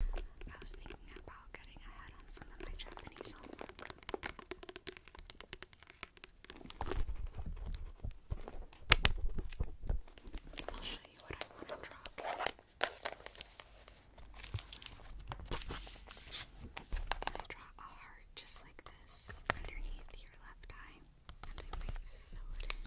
I was thinking about getting ahead on some of my Japanese homework. I'll show you what I want to draw. I draw a heart just like this underneath your left eye, and I might fill it in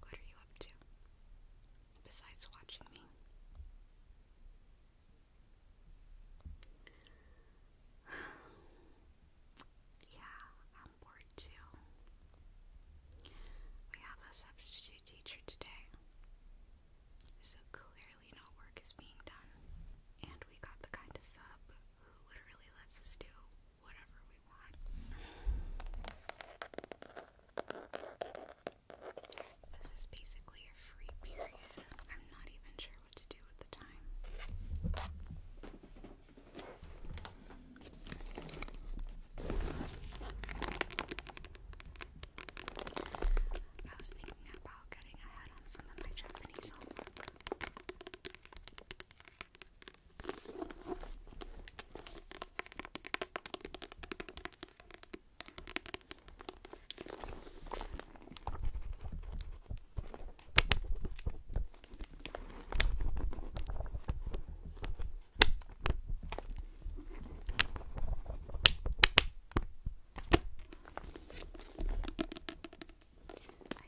what are you up to besides watching me? yeah, I'm bored too. We have a substitute teacher today, so clearly no work is being done, and we got the kind of sub who literally lets us do whatever we this is basically a free period. I'm not even sure what to do with the time. I was thinking about getting ahead on some of my Japanese homework. I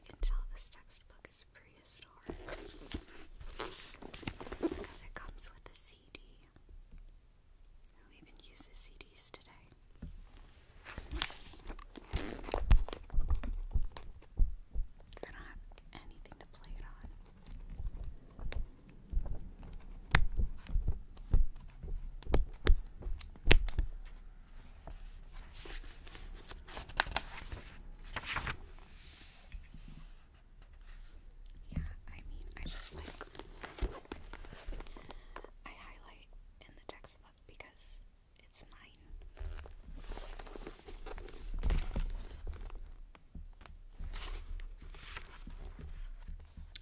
can tell this textbook is prehistoric because it comes with a CD. Who even uses CDs today? I do have anything to play it on. Yeah, I mean, I just like I highlight in the textbook because it's mine.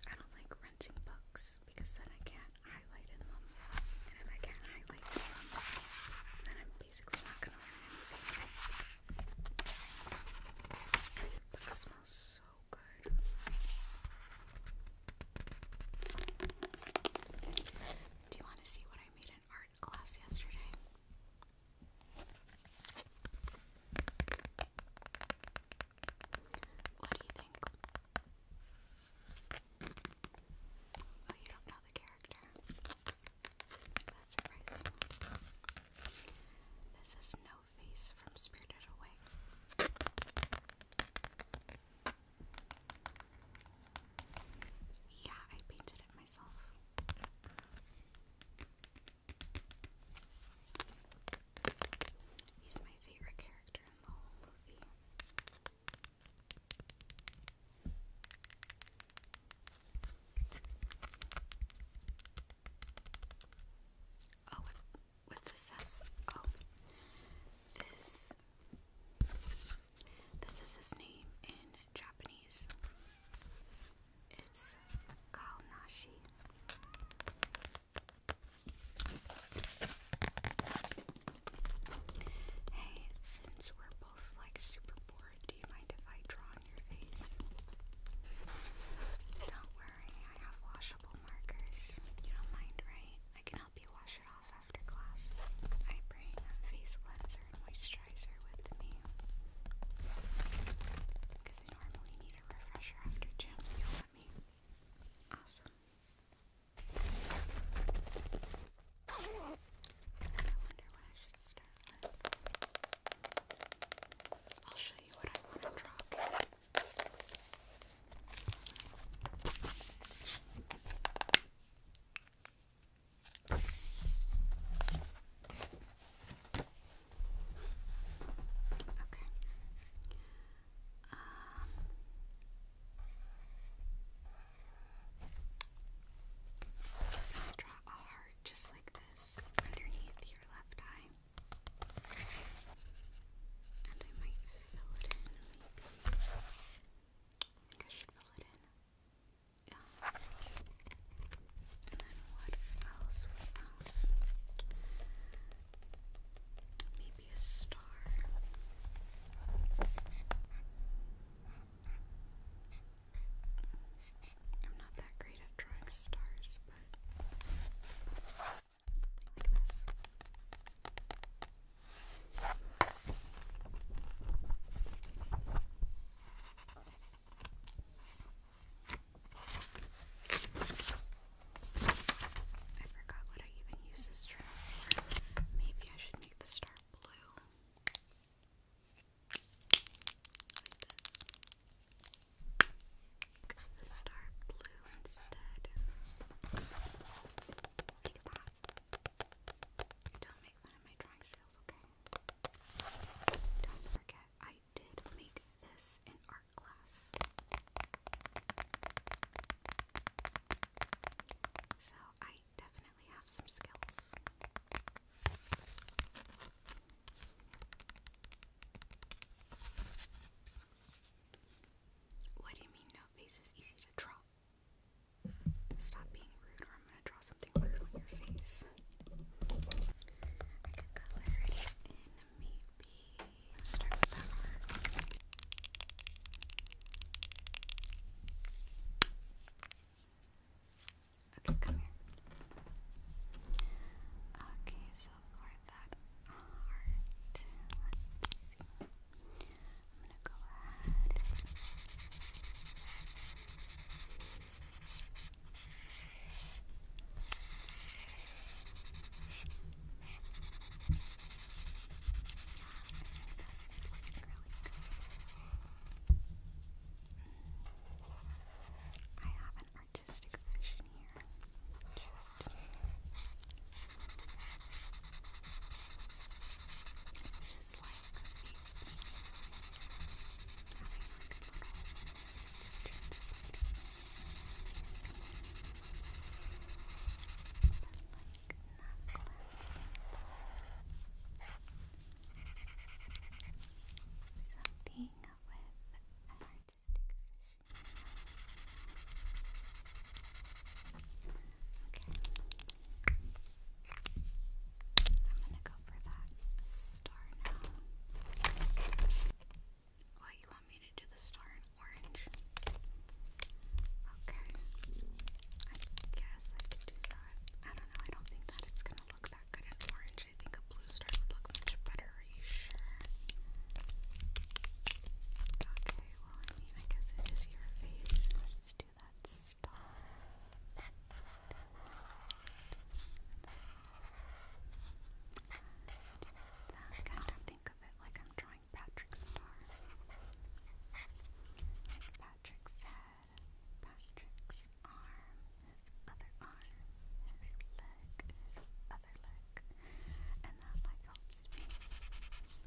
I don't like renting books because then I can't highlight in them. And if I can't write like that, then I'm basically not gonna learn anything. Book smells so good. Do you want to see what I made in art class yesterday? What do you think? Well, oh, you don't know the character. That's surprising. This is No Face from Spirited Away. Yeah, I painted it myself. He's my favorite character in the whole movie. Oh, with, with the sass. Oh, this. This is his name in Japanese. It's Kalnashi. Hey, since we're both like super bored, do you mind if I draw on your face? Don't worry, I have washable markers. You don't mind, right? I can help you wash it off after class. I bring a face cleanser and moisturizer with me. Because I normally need a refresher after gym. You'll me. Awesome wonder what I should start I'll show you what I want to draw. Okay. Um, Draw a heart just like this underneath your left eye. And I might fill it in, I think I should fill it in. Yeah. And then what else? What else? Maybe a star. I'm not that great at drawing stars, but something like this. I forgot what I even use this for. Maybe I should make this dark blue. Like this. This blue instead. Don't make fun of my drawing skills, okay? Don't forget, I did make this in art class. So I I What do you mean no face is easy to draw? Stop being rude or I'm gonna draw something weird on your face. I could color it in maybe. start with that one. Okay, come here. Okay, so for that heart, let's see. I'm gonna go ahead. I have an artistic vision here. Just it's just like face painting. Having like a little face painting. But like Something with artistic vision. Okay. I'm gonna go for that star now. What, you want me to do the star orange. Okay. I guess I could do that. I don't know. I don't think that it's gonna look that good in orange. I think a blue star would look much better. Are you sure? Okay. Well, I mean, I guess it is your face. Let's do that star. That kind of think of it like I'm trying drawing Patrick Patrick's head, Patrick's arm, his other arm, his leg, his other leg. And that like helps me shoot it.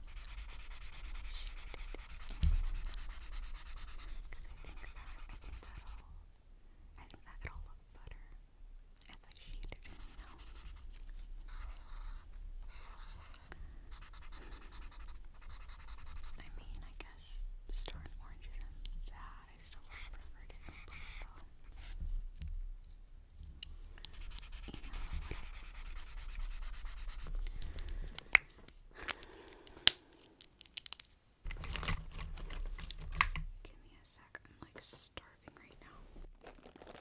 Because I think that that'll I think that'll look better if I shoot it, you I mean, I guess star and orange isn't I still prefer it Give me a sec. I'm like starving starving right now.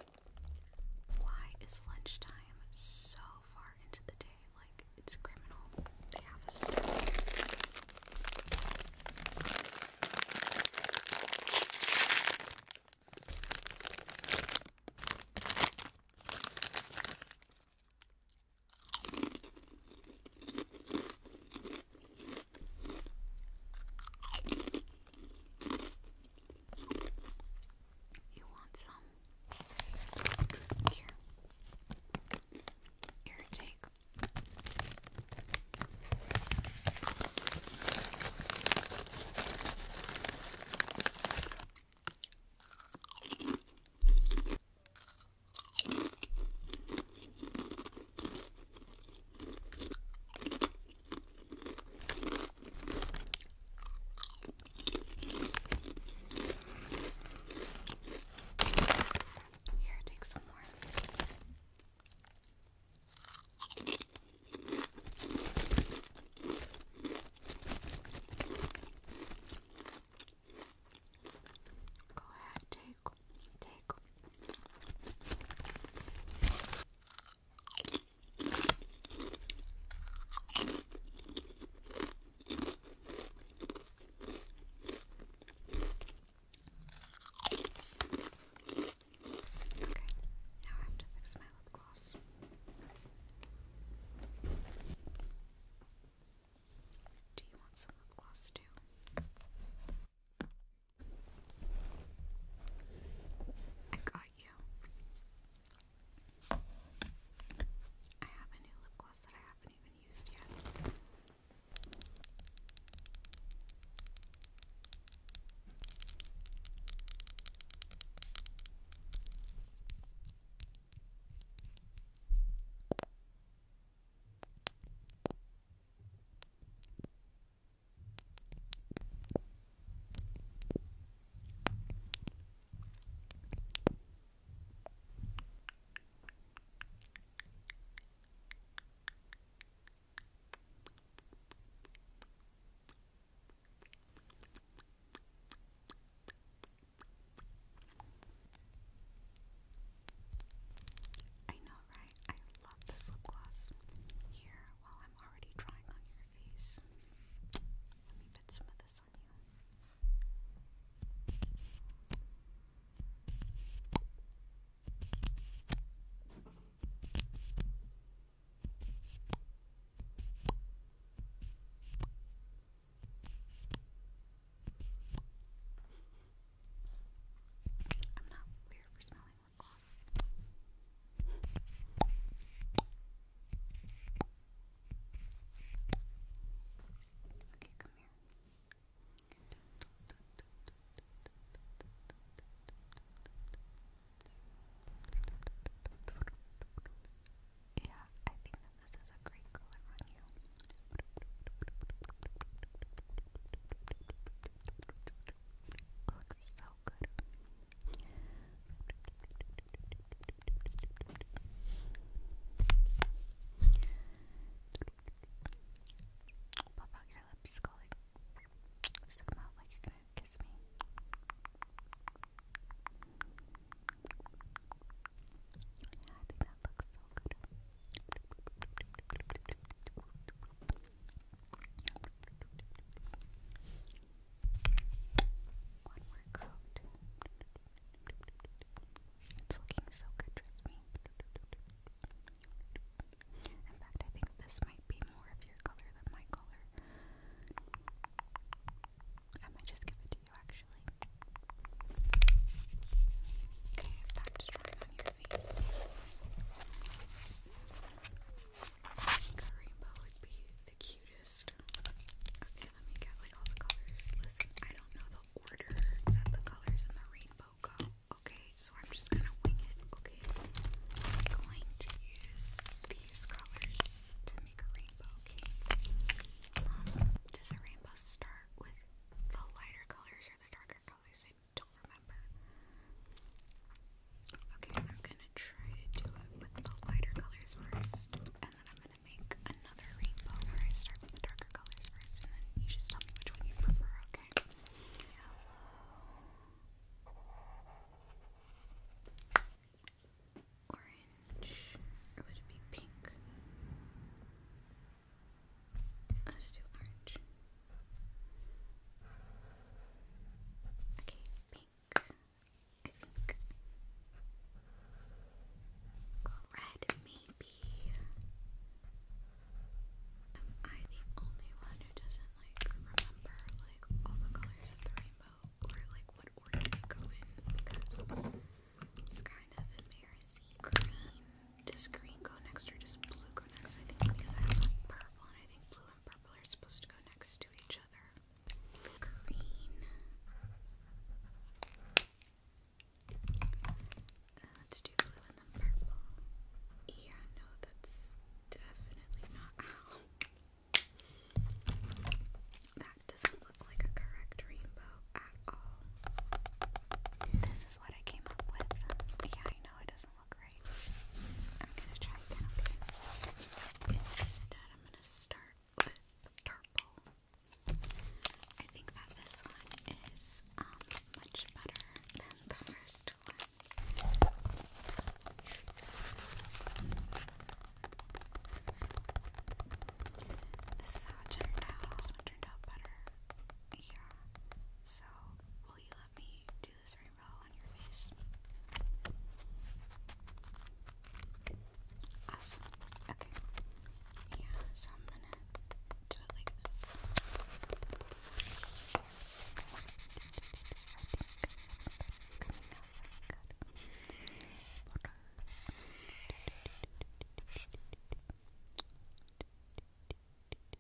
Why is lunchtime so far into the day? Like, it's criminal. They have a snack. You want some? Here. Here, take. Here, take some more. Go ahead, take, take now I have to fix my lip gloss. Do you want some lip gloss too? I got you. I have a new lip gloss that I haven't even used yet. I know, right? I love this lip gloss here while I'm already trying on your face. Let me put some of this on you. I'm not weird for smelling Okay, come here. Yeah, I think that this is a great color on you. Looks so good. Pop out your lips, Scully. Stick them out like you're gonna kiss me. Yeah, I think that looks so good. One more coat. It's looking so good with me. In fact, I think this might be more of your color than my color. I might just give it to you actually. Okay, back to drawing on your face. Karimba would be the cutest. Okay, let me get like all the colors. Listen, I don't know the order that the colors in the rainbow go. Okay, so I'm just gonna wing it. Okay, I'm going to use these colors to make a rainbow. Okay, does a rainbow start with the lighter colors or the darker colors? don't remember. Okay, I'm gonna try to do it with the lighter colors first, and then I'm gonna make another rainbow where I start with the darker colors first, and then you should tell me which one you prefer, okay? Yellow. Orange. would it be pink? Let's do orange. Okay. Okay, pink. I red, maybe. Am I the only one who doesn't like remember like all the colors of the rainbow or like what order they go in? it's kind of embarrassing. Green. Does green go next or does blue go next? I think because I have have purple and I think blue and purple are supposed to go next to each other. Green. Uh, let's do blue and then purple. Yeah, no, that's definitely not how. That doesn't look like a correct rainbow at all. This is what I came up with. Yeah, I know it doesn't look right. I'm gonna try again, Instead, I'm gonna start with purple. I think that this one is um much better than the first one. This is how it turned out. This one turned out better. Yeah. So will you let me do this rainbow on your face? Awesome. Okay. Yeah, so I'm gonna do it like this.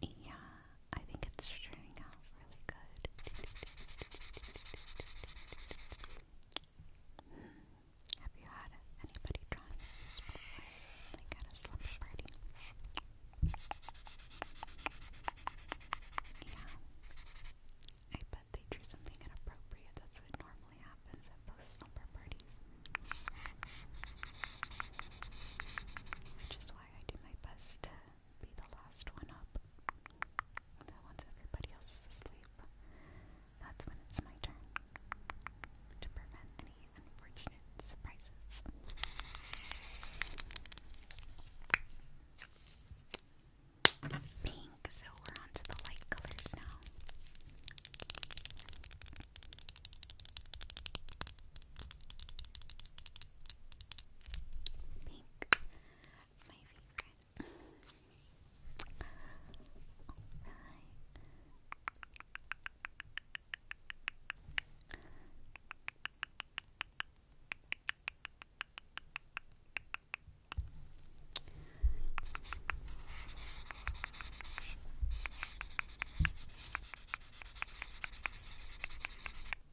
Yeah, I think it's turning out really good. Hmm. Have you had anybody drawing this before? Like at a slumber party? Yeah. I bet they drew something inappropriate. That's what normal normally happens at those slumber parties. Which is why I do my best to be the last one up. And once everybody else is asleep, that's when it's my turn to prevent any unfortunate surprises. Pink pink, so we're on the light colors now. Pink, my favorite. Alright.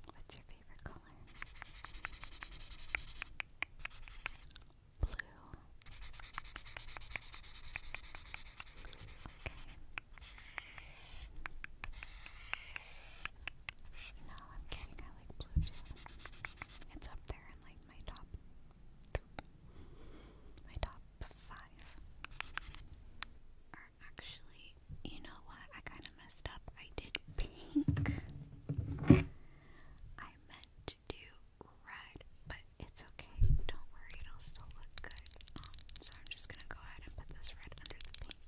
What's your favorite color? Blue. Okay. No, I'm kidding. I like blue too. It's up there in like my top th my top five are actually, you know what? I kind of messed up. I did pink. I meant to do red, but it's okay. Don't worry, it'll still look good. Um, so I'm just gonna go ahead and put this red under the pink.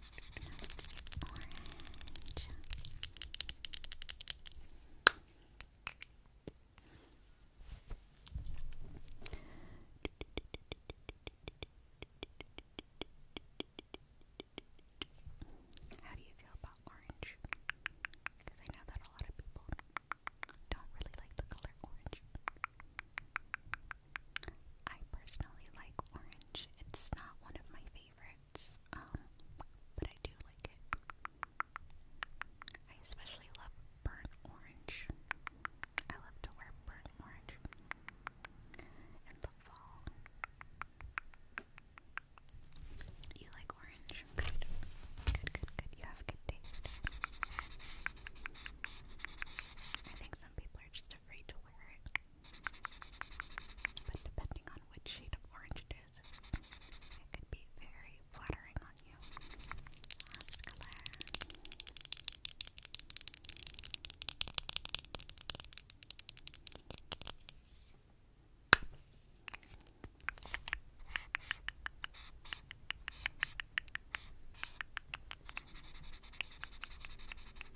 How do you feel about orange? Because I know that a lot of people don't really like the color orange. I personally like orange. It's not one of my favorites favorites, um, but I do like it. I especially love burnt orange. I love to wear burnt orange in the fall. You like orange? Good. Good, good, good. You have good taste. I think some people are just afraid to wear it. But depending on which shade of orange it is, it could be very flattering on you. Last color.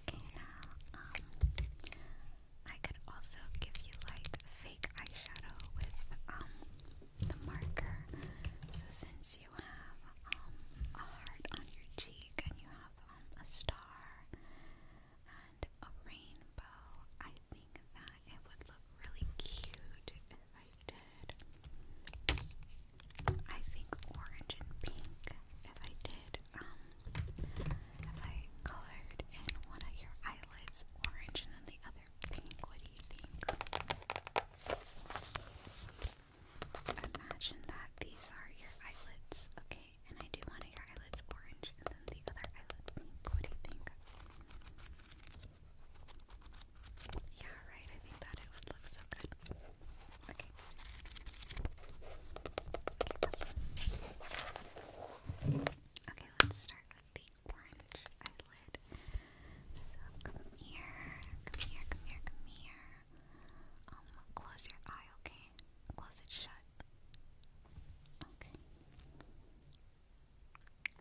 Okay, now, um, I could also give you like fake eyeshadow with um the marker. So since you have um a heart on your cheek and you have um a star and a rainbow, I think that it would look really cute if I did. I think orange and pink. If I did, um, if I colored in one of your eyelids orange and then the other pink, what do you think? Imagine that these are your eyelids, okay? And I do one of your eyelids orange and then the other eyelid pink. What do you think? Yeah, right. I think that it would look so good. Okay. Okay, let's start with the orange eyelid. So come here, come here, come here, come here. Um, close your eye, okay? Close it shut. Okay.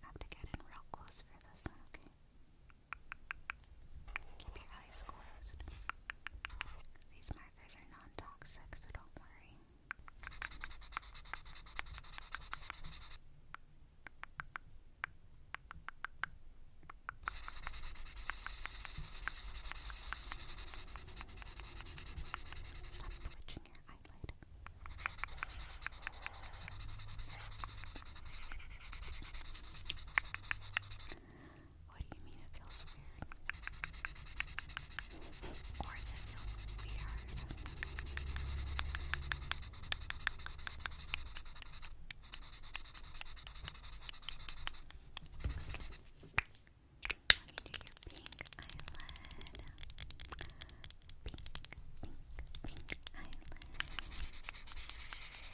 have to get in real close for this one, okay? Keep your eyes closed. These markers are non toxic, so don't worry. Stop twitching your eyelid. What do you mean it feels weird? Or does it feel weird? your pink eyelid. Pink, pink, pink eyelid.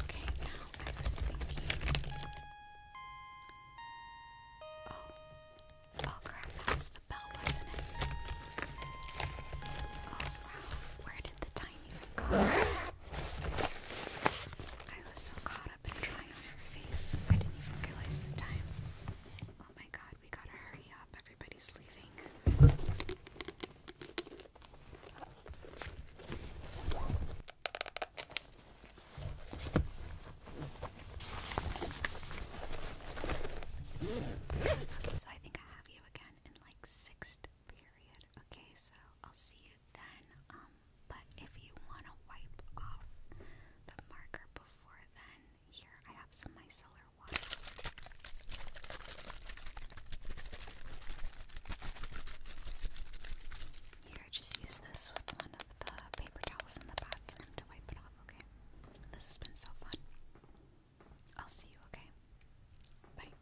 Okay, now I was thinking. Oh, oh crap, that was the bell, wasn't it? Oh wow, where did the time even go? I was so caught up in trying on her face, I didn't even realize the time. Oh my god, we gotta hurry up everybody's leaving. Okay, so I think I have you again in like sixth period. Okay, so I'll see you then. Um, but if you want to wipe off the marker before then, here I have some micellar water. Here, just use this with one of the paper towels in the bathroom to wipe it off, okay? This has been so fun. I'll see you, okay? Bye.